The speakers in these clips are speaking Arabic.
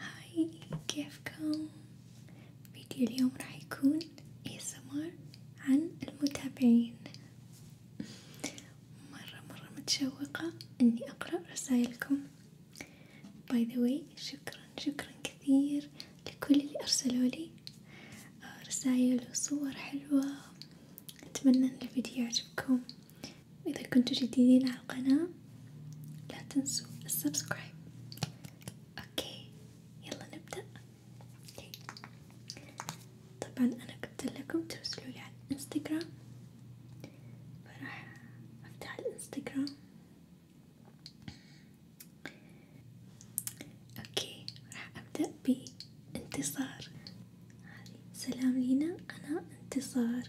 هاي كيفكم؟ فيديو اليوم راح يكون ASMR عن المتابعين مرة مرة متشوقة اني اقرأ رسايلكم باي ذا واي شكرا شكرا كثير لكل اللي ارسلولي آه، رسايل وصور حلوة اتمنى ان الفيديو يعجبكم وإذا كنتوا جديدين على القناة لا تنسوا السبسكرايب اوكي يلا نبدأ طبعا أنا قلت لكم ترسلوا لي على أفتح الانستغرام اوكي راح أبدأ بانتصار سلام لينا أنا انتصار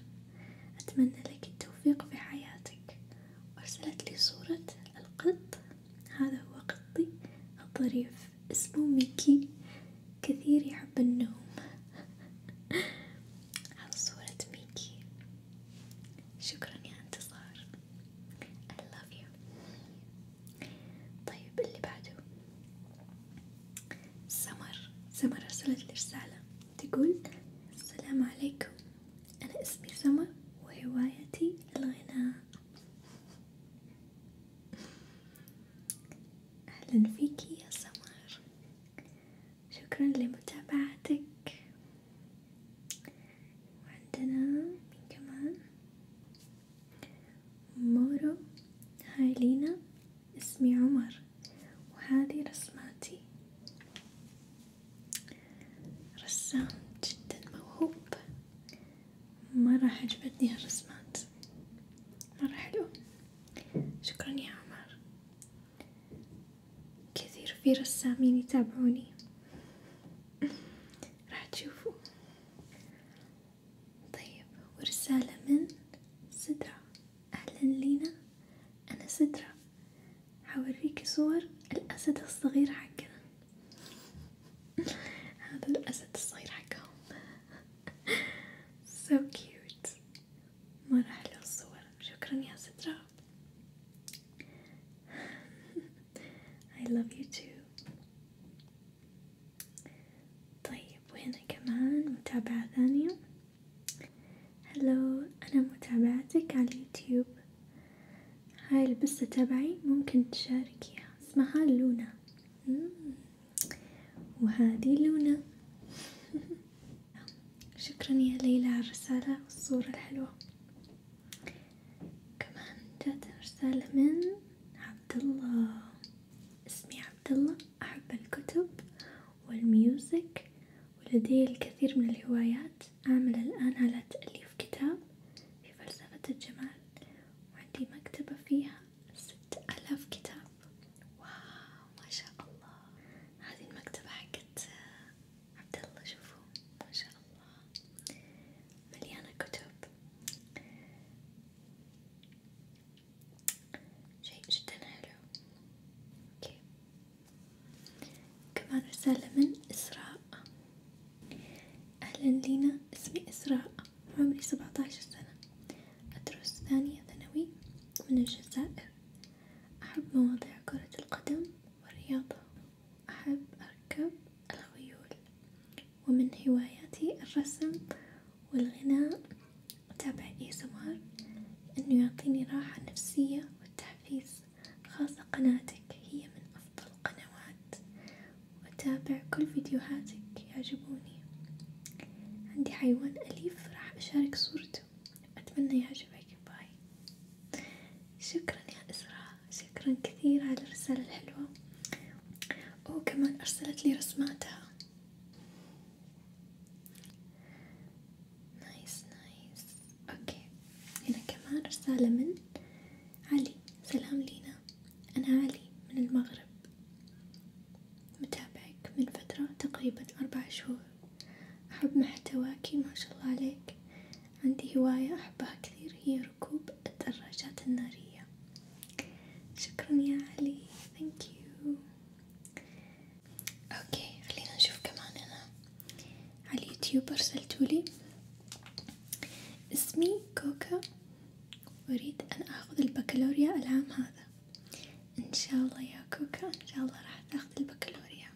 أتمنى لك التوفيق في حياتك، وأرسلت لي صورة القط، هذا هو قطي الظريف اسمه ميكي، كثير يحب النوم، هذا صورة ميكي، شكرا يا انتصار، I love you، طيب اللي بعده، سمر، سمر أرسلت لي رسالة. تقول السلام عليكم أنا اسمي سما وهوايتي الغناء أهلا فيكي يا سمر شكرا لمتابعتك وعندنا من كمان مورو هاي لينا اسمي عمر وهذه رسماتي رسام جدا موهوب مرة عجبتني هالرسمات مرة حلو شكرا يا عمر كثير في رسامين يتابعوني راح تشوفوا طيب ورسالة من سدرة أهلا لينا أنا سدرة هوريكي صور الأسد الصغير حقنا هذا الأسد الصغير حقهم so cute مرة حلوة الصور شكرا يا سدرة I love you too طيب وهنا كمان متابعة ثانية هلو أنا متابعتك على اليوتيوب هاي البسة تبعي ممكن تشاركيها اسمها لونا وهذه لونا شكرا يا ليلى على الرسالة والصورة الحلوة كمان جات رسالة من عبد الله اسمي عبد عبد الله أحب الكتب والميوزك ولدي الكثير من الهوايات أعمل الآن على تأليف كتاب في فلسفة الجمال وعندي مكتبة فيها ست آلاف كتاب واو ما شاء الله هذه المكتبة حقت عبد الله شوفوا ما شاء الله مليانة كتب شيء جدا حلو كمان رسالة من إسراء أهلا لينا اسمي إسراء عمري سبعة عشر سنة أدرس ثانية ثانوي من الجزائر أحب مواضيع كرة القدم والرياضة أحب أركب الخيول ومن هواياتي الرسم والغناء أتابع ASMR لأنه يعطيني راحة نفسية والتحفيز خاصة قناتك هي من أفضل القنوات وأتابع كل فيديوهاتك يعجبوني عندي حيوان أليف راح أشارك صورته أتمنى يعجبك باي شكرا يا إسراء شكرا كثير على الرسالة الحلوة وكمان أرسلت لي رسماتها نايس نايس اوكي هنا كمان رسالة من علي سلام لينا انا علي من المغرب متابعك من فترة تقريبا اربع شهور احب محتواكي ما شاء الله عليك عندي هواية احبها كثير هي ركوب الدراجات النارية شكرا يا علي ثانك اوكي خلينا نشوف كمان انا على اليوتيوب ارسلتولي اسمي كوكا اريد ان اخذ البكالوريا العام هذا ان شاء الله يا كوكا ان شاء الله راح تاخذ البكالوريا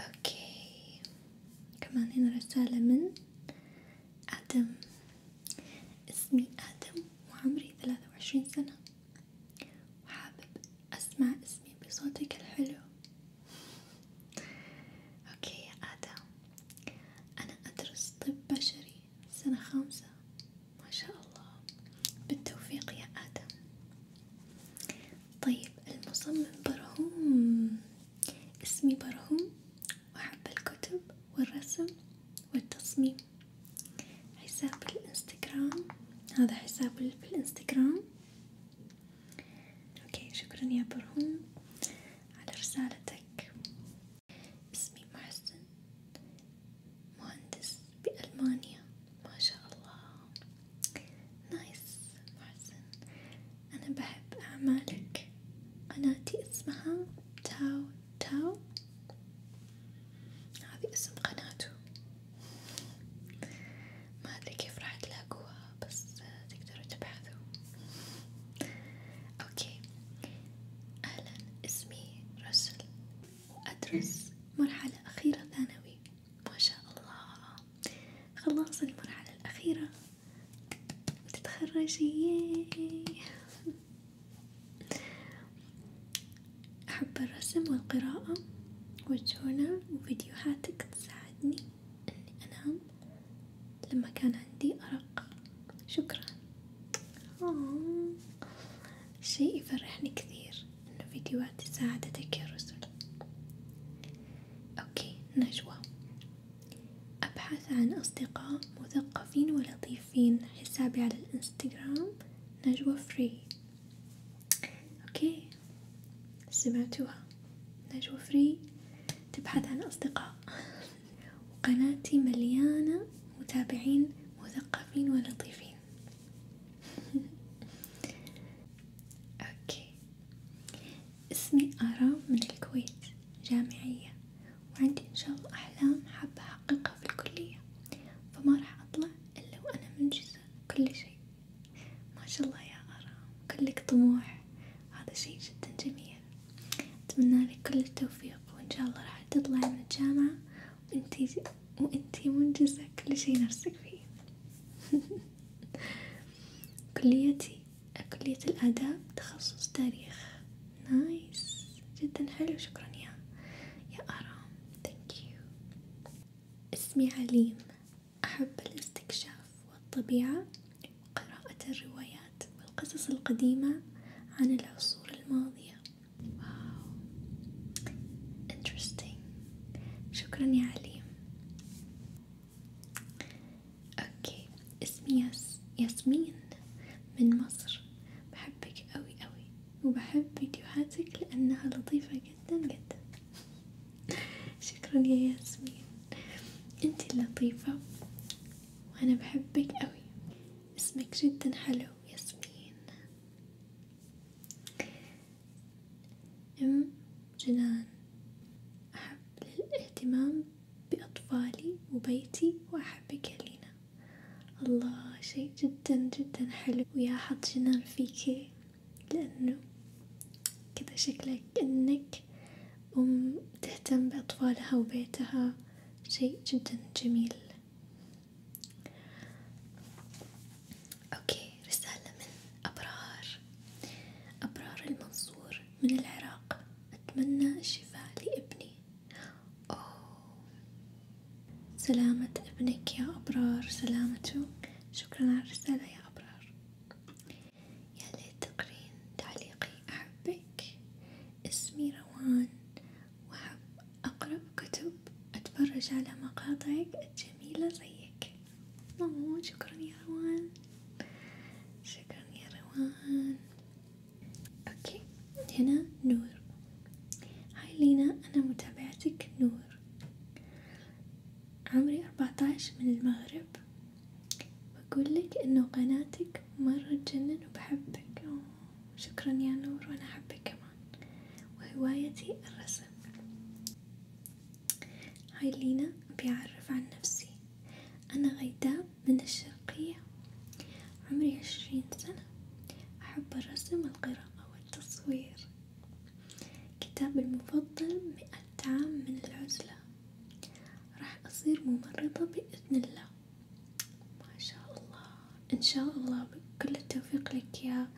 اوكي كمان هنا رسالة من آدم اسمي آدم وعمري ثلاثة وعشرين سنة وحابب أسمع اسمي بصوتك الحلو أوكي يا آدم أنا أدرس طب بشري سنة خامسة ما شاء الله بالتوفيق يا آدم طيب المصمم برهوم اسمي برهوم وأحب الكتب والرسم والتصميم حساب الانستغرام هذا حساب في الانستغرام اوكي شكرا يا برهوم على رسالتك اسمي محسن مهندس بألمانيا ما شاء الله نايس محسن انا بحب اعمالك قناتي اسمها تاو تاو هذي اسم قناته ما أدري كيف راح تلاقوها بس تقدروا تبحثوا أوكي أهلا اسمي رسل وأدرس مرحلة أخيرة ثانوي ما شاء الله خلاص المرحلة الأخيرة وتتخرجي أحب الرسم والقراءة والجونة وفيديوهاتك تساعدني إني أنام لما كان عندي أرق، شكرا، آه شيء يفرحني كثير أن فيديوهاتي ساعدتك يا رسل، أوكي نجوى، أبحث عن أصدقاء مثقفين ولطيفين. شايفين حسابي على الانستغرام نجوى فري اوكي سمعتوها نجوى فري تبحث عن اصدقاء وقناتي مليانة متابعين مثقفين ولطيفين اوكي اسمي آرام من الكويت جامعية وعندي إن شاء الله أحلام حابة أحققها في الكلية، فما راح أطلع إلا وأنا منجزة كل شي، ما شاء الله يا آراء كلك طموح، هذا شي جدا جميل، أتمنى لك كل التوفيق وإن شاء الله راح تطلعي من الجامعة وإنتي وإنتي منجزة كل شي نفسك فيه. كليتي كلية الآداب تخصص تاريخ نايس جدا حلو شكرا يا يا آرام ثانك يو اسمي عليم أحب الاستكشاف والطبيعة وقراءة الروايات والقصص القديمة عن العصور الماضية واو interesting شكرا يا عليم اوكي اسمي ياس ياسمين من مصر بحبك أوي أوي وبحب فيديوهاتك لأنها لطيفة جدا جدا شكرا يا ياسمين انتي اللطيفة وأنا بحبك أوي اسمك جدا حلو ياسمين أم جنان أحب الاهتمام بأطفالي وبيتي وأحبك يا لينا الله شيء جدا جدا حلو ويا حط جنان فيكي لأنه كذا شكلك أنك أم تهتم بأطفالها وبيتها شيء جدا جميل أوكي رسالة من أبرار أبرار المنصور من العراق أتمنى الشفاء لابني أوه. سلامة ابنك يا أبرار سلامته شكرا على الرسالة يا أبرار يا ليت تقرين تعليقي أحبك اسمي روان وأحب أقرأ كتب أتفرج على مقاطعك الجميلة زيك أوه شكرا يا روان شكرا يا روان اوكي هنا نور هاي لينا انا متابعتك نور عمري اربعتاش من المغرب بقول لك انه قناتك مرة تجنن وبحبك شكرا يا نور وانا احبك كمان وهوايتي الرسم هاي لينا بيعرف عن نفسي أنا غيداء من الشرقية عمري عشرين سنة أحب الرسم والقراءة والتصوير كتابي المفضل مئة عام من العزلة راح أصير ممرضة بإذن الله ما شاء الله إن شاء الله كل التوفيق لك يا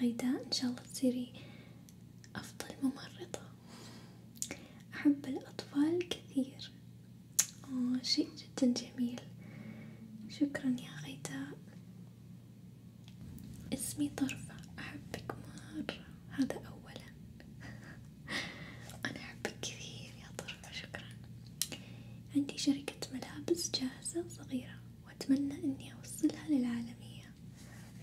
غيداء إن شاء الله تصيري أفضل ممرضة أحب الأطفال كثير آه شيء جدا جميل شكرا يا غيداء اسمي طرفة أحبك مرة هذا أولا أنا أحبك كثير يا طرفة شكرا عندي شركة ملابس جاهزة صغيرة وأتمنى إني أوصلها للعالمية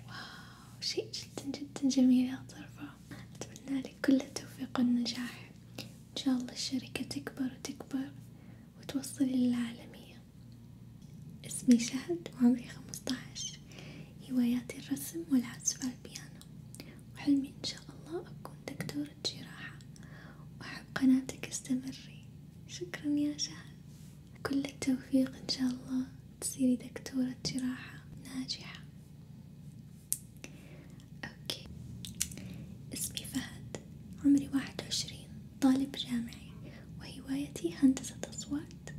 واو شيء جدا جدا جميل يا طرفة أتمنى لك كل التوفيق والنجاح، إن شاء الله الشركة تكبر وتكبر وتوصل للعالمية، اسمي شهد وعمري خمسطعش، هواياتي الرسم والعزف على البيانو، وحلمي إن شاء الله أكون دكتورة جراحة، وأحب قناتك استمري، شكرا يا شهد، كل التوفيق إن شاء الله تصيري دكتورة جراحة ناجحة. أوكي اسمي فهد عمري واحد وعشرين طالب جامعي وهوايتي هندسة أصوات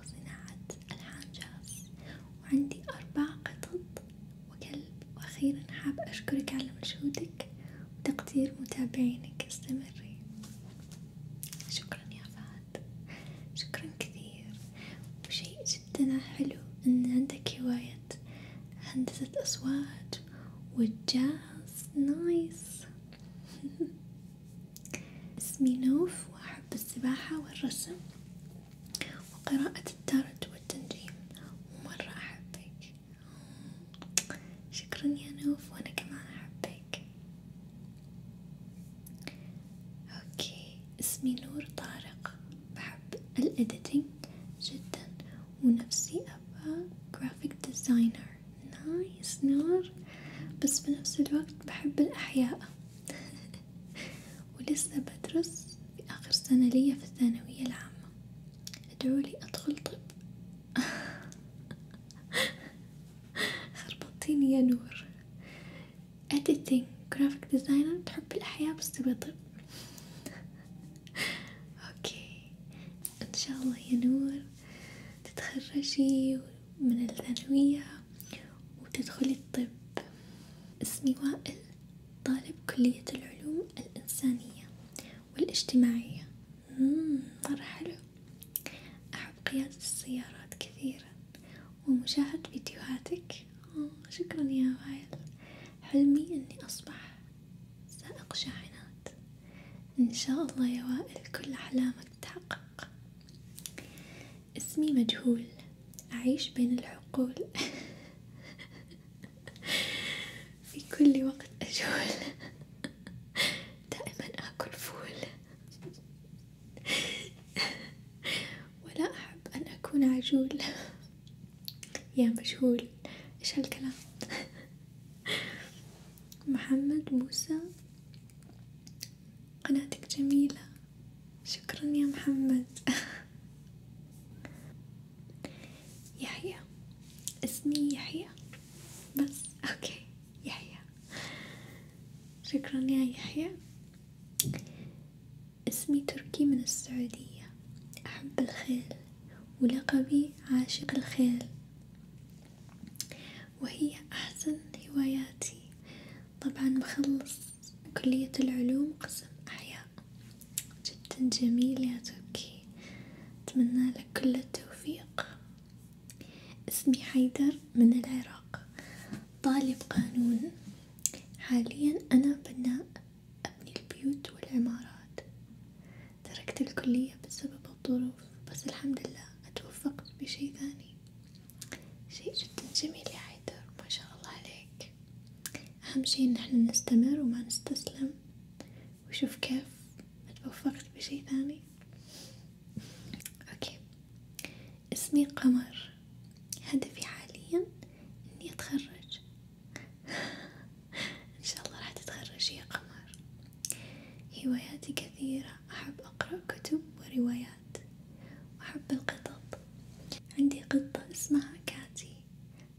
وصناعة ألحان جاز وعندي أربع قطط وكلب وأخيرا حابة أشكرك على مجهودك وتقدير متابعينك استمري شكرا يا فهد شكرا كثير وشيء جدا حلو إن عندك هواية هندسة أصوات والجاز نايس اسمي نوف وأحب السباحة والرسم وقراءة التارت والتنجيم ومرة أحبك شكرا يا نوف وأنا كمان أحبك أوكي اسمي نور طارق بحب ال editing جدا ونفسي أبقى graphic designer نايس نور بس بنفس الوقت بحب الأحياء ولسه بدرس في آخر سنة ليا في الثانوية العامة ادعولي أدخل طب خربطتيني يا نور editing graphic designer بتحب الأحياء بس تبي طب اوكي ان شاء الله يا نور تتخرجي من الثانوية وتدخلي الطب اسمي وائل طالب كلية العلوم الإنسانية والاجتماعية مرة حلو أحب قيادة السيارات كثيرا ومشاهدة فيديوهاتك آه، شكرا يا وائل حلمي أني أصبح سائق شاحنات إن شاء الله يا وائل كل أحلامك تتحقق اسمي مجهول أعيش بين العقول في كل وقت أجول دائما آكل فول ولا أحب أن أكون عجول يا مجهول إيش هالكلام محمد موسى قناتك جميلة شكرا يا محمد يحيى اسمي يحيى بس اوكي يحيى شكرا يا يحيى اسمي تركي من السعودية أحب الخيل ولقبي عاشق الخيل وهي أحسن هواياتي طبعا مخلص كلية العلوم قسم أحياء جدا جميل يا تركي أتمنى لك كل التوفيق اسمي حيدر من العراق طالب قانون حاليا أنا بناء أبني البيوت والعمارات تركت الكلية بسبب الظروف بس الحمد لله أتوفقت بشي ثاني شيء جدا جميل يا حيدر ما شاء الله عليك أهم شي إن احنا نستمر وما نستسلم وشوف كيف اتوفقت بشي ثاني أوكي اسمي قمر هدفي حاليا اني اتخرج ان شاء الله راح تتخرج يا قمر هواياتي كثيرة احب اقرأ كتب وروايات واحب القطط عندي قطة اسمها كاتي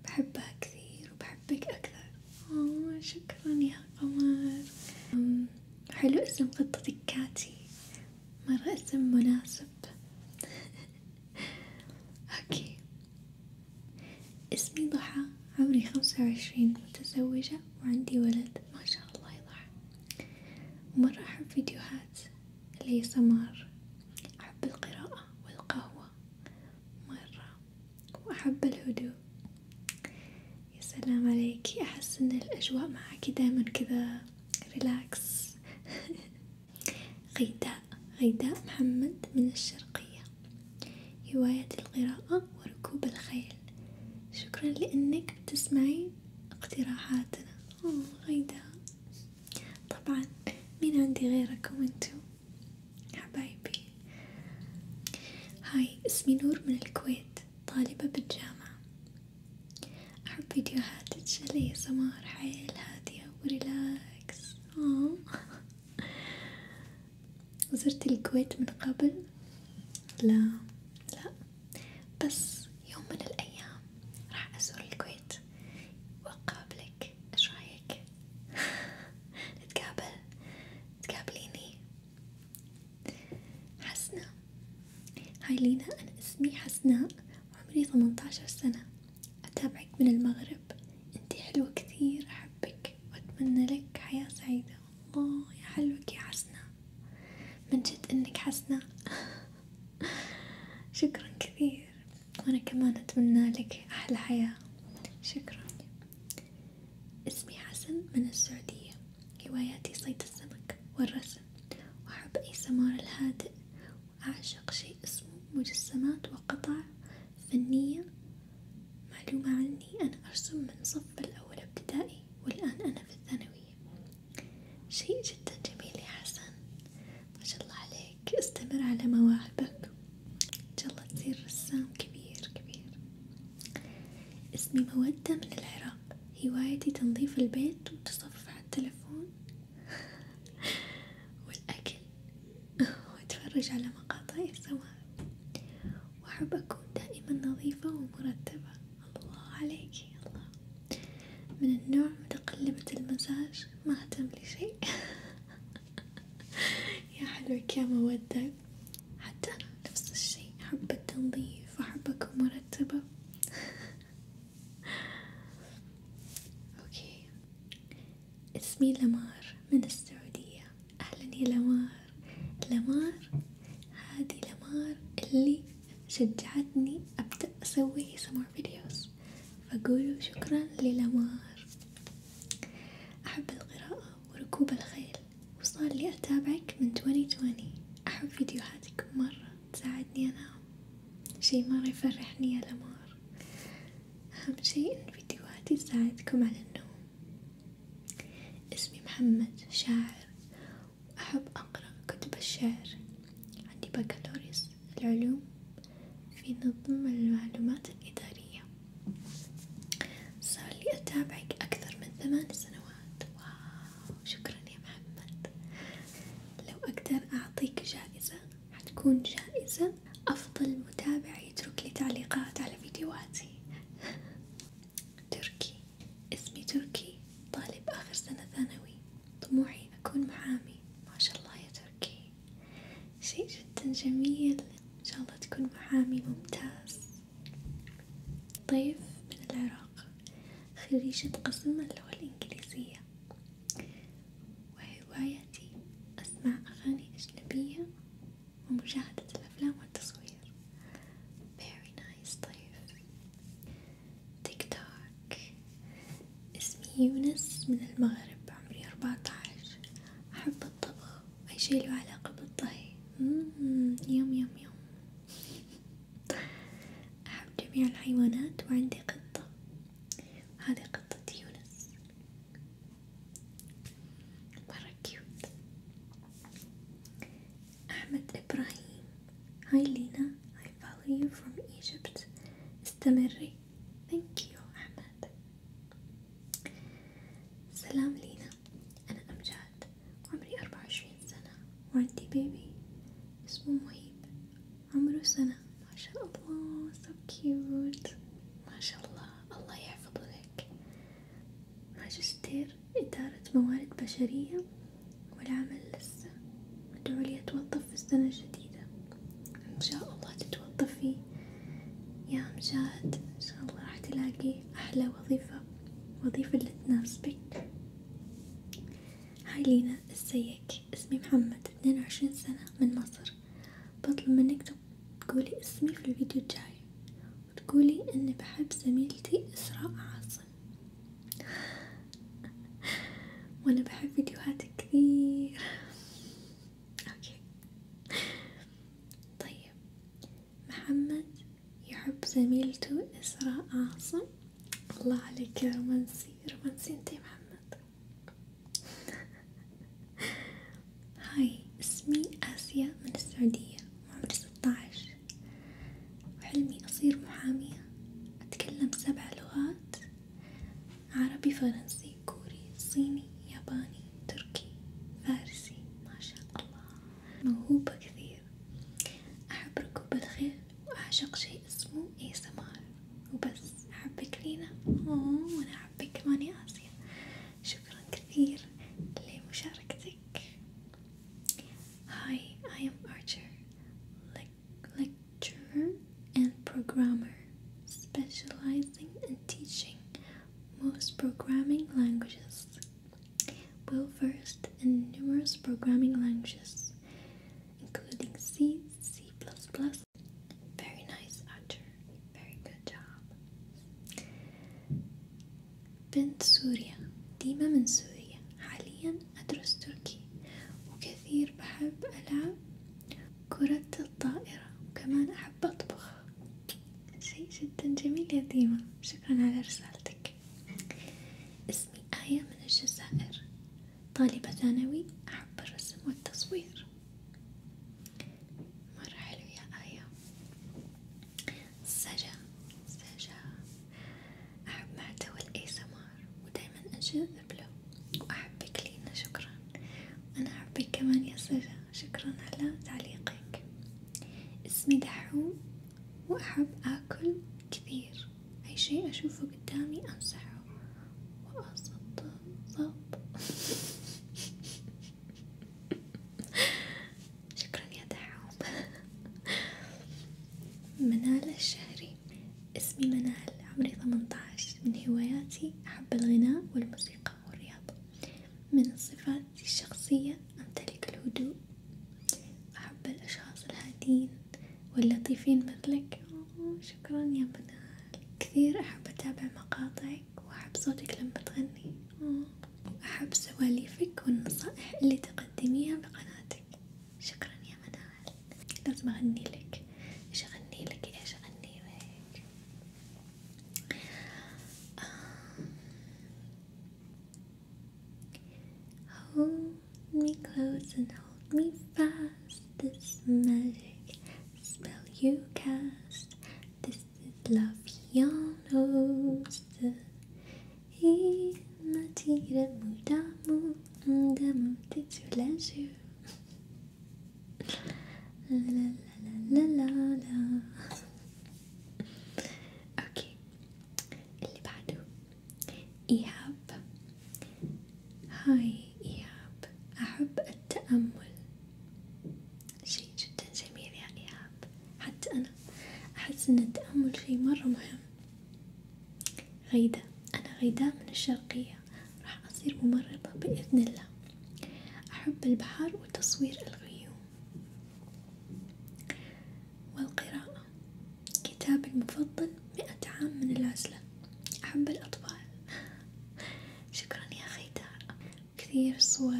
بحبها كثير وبحبك اكثر اوه شكرا يا قمر حلو اسم قطتك كاتي مرة اسم مناسب اوكي اسمي ضحى عمري خمسة وعشرين متزوجة وعندي ولد ما شاء الله يا مرة أحب فيديوهات اللي سمار أحب القراءة والقهوة مرة وأحب الهدوء يا سلام عليكي أحس إن الأجواء معاكي دايما كذا ريلاكس غيداء غيداء محمد من الشرقية هواية القراءة وركوب الخيل شكرا لأنك بتسمعي اقتراحاتنا أوه غيداء طبعا مين عندي غيركم انتو حبايبي هاي اسمي نور من الكويت طالبة بالجامعة أحب فيديوهات الشاليه سمار حيل هادية وريلاكس آه. زرت الكويت من قبل؟ لا لا بس يوم من الأيام راح أزور الكويت وأقابلك إيش رأيك؟ نتقابل تقابليني حسنة هاي لينا أنا اسمي حسناء عمري ثمنتاشر سنة أتابعك من المغرب انتي حلوة كثير أحبك وأتمنى لك حياة سعيدة الله يا حلوك يا حسنة من جد إنك حسنة شكرا كثير وأنا كمان أتمنى لك أحلى حياة شكرا اسمي حسن من السعودية هواياتي صيد السمك والرسم وأحب أي سمار الهادئ أعشق شيء اسمه مجسمات وقطع فنية معلومة عني أنا أرسم من صف الأول ابتدائي والآن أنا في الثانوية شيء جدا جميل يا حسن ما شاء الله عليك استمر على مواهبك إن شاء الله تصير رسام كبير كبير اسمي مودة من العراق هوايتي تنظيف البيت وتصفح التلفون والأكل وأتفرج على مقاطع الزواج وأحب أكون دائما نظيفة ومرتبة الله عليك الله من النوع متقلبة المزاج ما أهتم لشيء يا حلوك يا مودة حتى أنا نفس الشي أحب التنظيف وأحب أكون مرتبة اوكي اسمي لمار من السعودية اهلا يا لمار لمار هذه لمار اللي شجعتني ابدأ اسوي سمر فيديوز فقولوا شكرا للمار احب القراءة وركوب الخيل وصار لي اتابعك من 2020 احب فيديوهاتك مرة تساعدني أنام شي مرة يفرحني يا الأمار أهم شي إن فيديوهاتي تساعدكم على النوم اسمي محمد شاعر وأحب أقرأ كتب الشعر عندي بكالوريوس العلوم في نظم المعلومات الإدارية صار لي أتابعك أكثر من ثمان سنوات واو شكرا يا محمد لو أقدر أعطيك جائزة حتكون جائزة أفضل متابع يترك لي تعليقات على فيديوهاتي تركي اسمي تركي طالب آخر سنة ثانوي طموحي أكون محامي ما شاء الله يا تركي شيء جدا جميل إن شاء الله تكون محامي ممتاز طيف من العراق العراق خريجة قسم اللغة الإنجليزية وهوايتي أسمع أغاني أجنبية ومشاهدة الأفلام والتصوير very nice ضيف طيب. تيك توك اسمي يونس من المغرب عمري أربعة عشر أحب الطبخ أي شي له علاقة بالطهي يم يم يم أحب جميع الحيوانات وعندي قطة هذه قطة يونس مرة كيوت أحمد إبراهيم هاي لينا I value you from Egypt استمري Thank أحمد سلام لينا أنا أمجاد عمري أربعة وعشرين سنة وعندي بيبي اسمه مهيب عمره سنة ما شاء الله so cute ما شاء الله الله يحفظه لك ماجستير إدارة موارد بشرية والعمل لسه أدعو لي أتوظف في السنة الجديدة إن شاء الله تتوظفي يا مشاهد إن شاء الله راح تلاقي أحلى وظيفة وظيفة اللي تناسبك هاي لينا ازيك اسمي محمد اثنين وعشرين سنة من مصر بطلب منك تقولي اسمي في الفيديو الجاي وتقولي اني بحب زميلتي اسراء عاصم وانا بحب فيديوهاتك كثير اوكي طيب محمد يحب زميلته اسراء عاصم الله عليك يا رومانسي رومانسي انت محمد هاي اسمي آسيا من السعودية وعمري ستاعش وحلمي أصير محامية أتكلم سبع لغات عربي فرنسي كوري صيني ياباني تركي فارسي ما شاء الله موهوبة كثير أحب ركوب الخيل وأعشق شيء اسمه اي سمار وبس أحبك لينا أوه وأنا أحبك كمان يا آسيا شكرا كثير لمشاركتك Hi, I am Archer Lecturer and Programmer specializing in teaching most programming languages well versed in numerous programming languages, including C, C++. Very nice, Archer. Very good job. بنت سوريا ديما من سوريا حاليا أدرس تركي وكثير بحب ألعب كرة الطائرة وكمان أحب أطبخ شيء جدا جميل يا ديما شكرا على رسالتك اسمي آية من الجزائر طالبة ثانوي أحب الرسم والتصوير مرة حلو يا آية سجا سجا أحب محتوى الإيسمار ودايما أجذب له وأحبك لينا شكرا أنا أحبك كمان يا سجا شكرا على تعليقك اسمي دحوم وأحب أكل كثير أي شيء أشوفه قدامي أمسحه وأصد صد شكرا يا دحوم منال الشهري اسمي منال عمري ثمنتاعش من هواياتي أحب الغناء والموسيقى والرياضة من صفاتي الشخصية أمتلك الهدوء أحب الأشخاص الهادين واللطيفين مثلك شكرا يا منال كثير أحب أتابع مقاطعك وأحب صوتك لما تغني أحب سواليفك والنصائح اللي تقدميها بقناتك شكرا يا منال لازم أغني لك إيش أغني لك إيش أغني لك آه. me close and hold me fast. This magic spell you cast. This is love yon hosta. He matira mudamu ndamu titsuleju. La la la la la la. Okay, اللي بعده إيهاب هاي إيهاب أحب التأمل شيء جدا جميل يا إيهاب حتى أنا أحس أن التأمل شيء مرة مهم غيدة أنا غيداء من الشرقية راح أصير ممرضة بإذن الله أحب البحر وتصوير الغيوم والقراءة كتابي المفضل مئة عام من العزلة أحب الأطفال شكرا يا خيدار كثير صور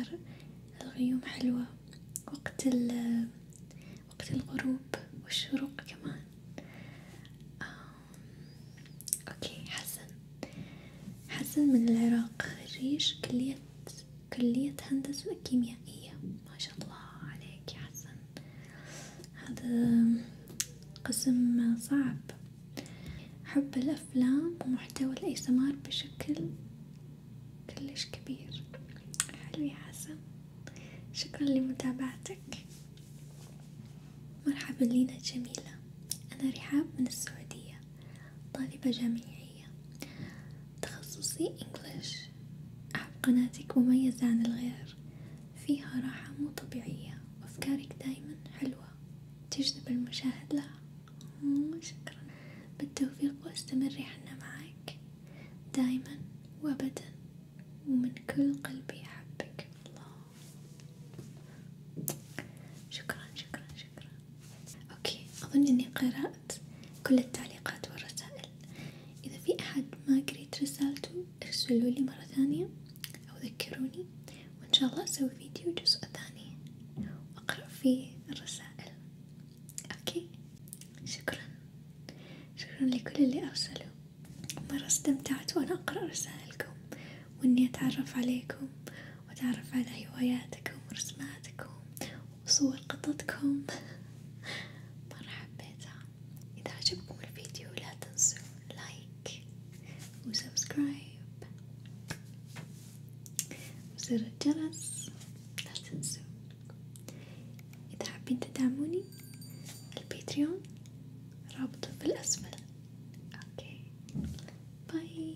الغيوم حلوة وقت ال وقت الغروب والشروق كمان أوكي حسن حسن من العراق خريج كلية كلية هندسة كيميائية ما شاء الله عليك يا حسن هذا قسم صعب حب الأفلام ومحتوى الإسمار بشكل كلش كبير حلو يا حسن شكرا لمتابعتك مرحبا لينا جميلة أنا رحاب من السعودية طالبة جامعية تخصصي إنجليش أحب قناتك مميزة عن الغير فيها راحة مو طبيعية وأفكارك دايما حلوة تجذب المشاهد لها شكرا بالتوفيق وأستمري حنا معك دايما وأبدا ومن كل قلبي أحبك الله شكرا شكرا شكرا أوكي أظن إني قرأت كل التعليقات والرسائل إذا في أحد ما قريت رسالته ارسلوا لي مرة ثانية أو ذكروني وإن شاء الله أسوي فيديو جزء ثاني وأقرأ فيه الرسائل أوكي شكرا شكرا لكل اللي أرسلوا مرة استمتعت وأنا أقرأ رسائلكم وإني أتعرف عليكم وأتعرف على هواياتكم ورسماتكم وصور قطتكم مرة حبيتها إذا عجبكم الفيديو لا تنسوا لايك وسبسكرايب وزر الجرس لا تنسوا إذا حابين تدعموني الباتريون رابطه في الأسفل أوكي باي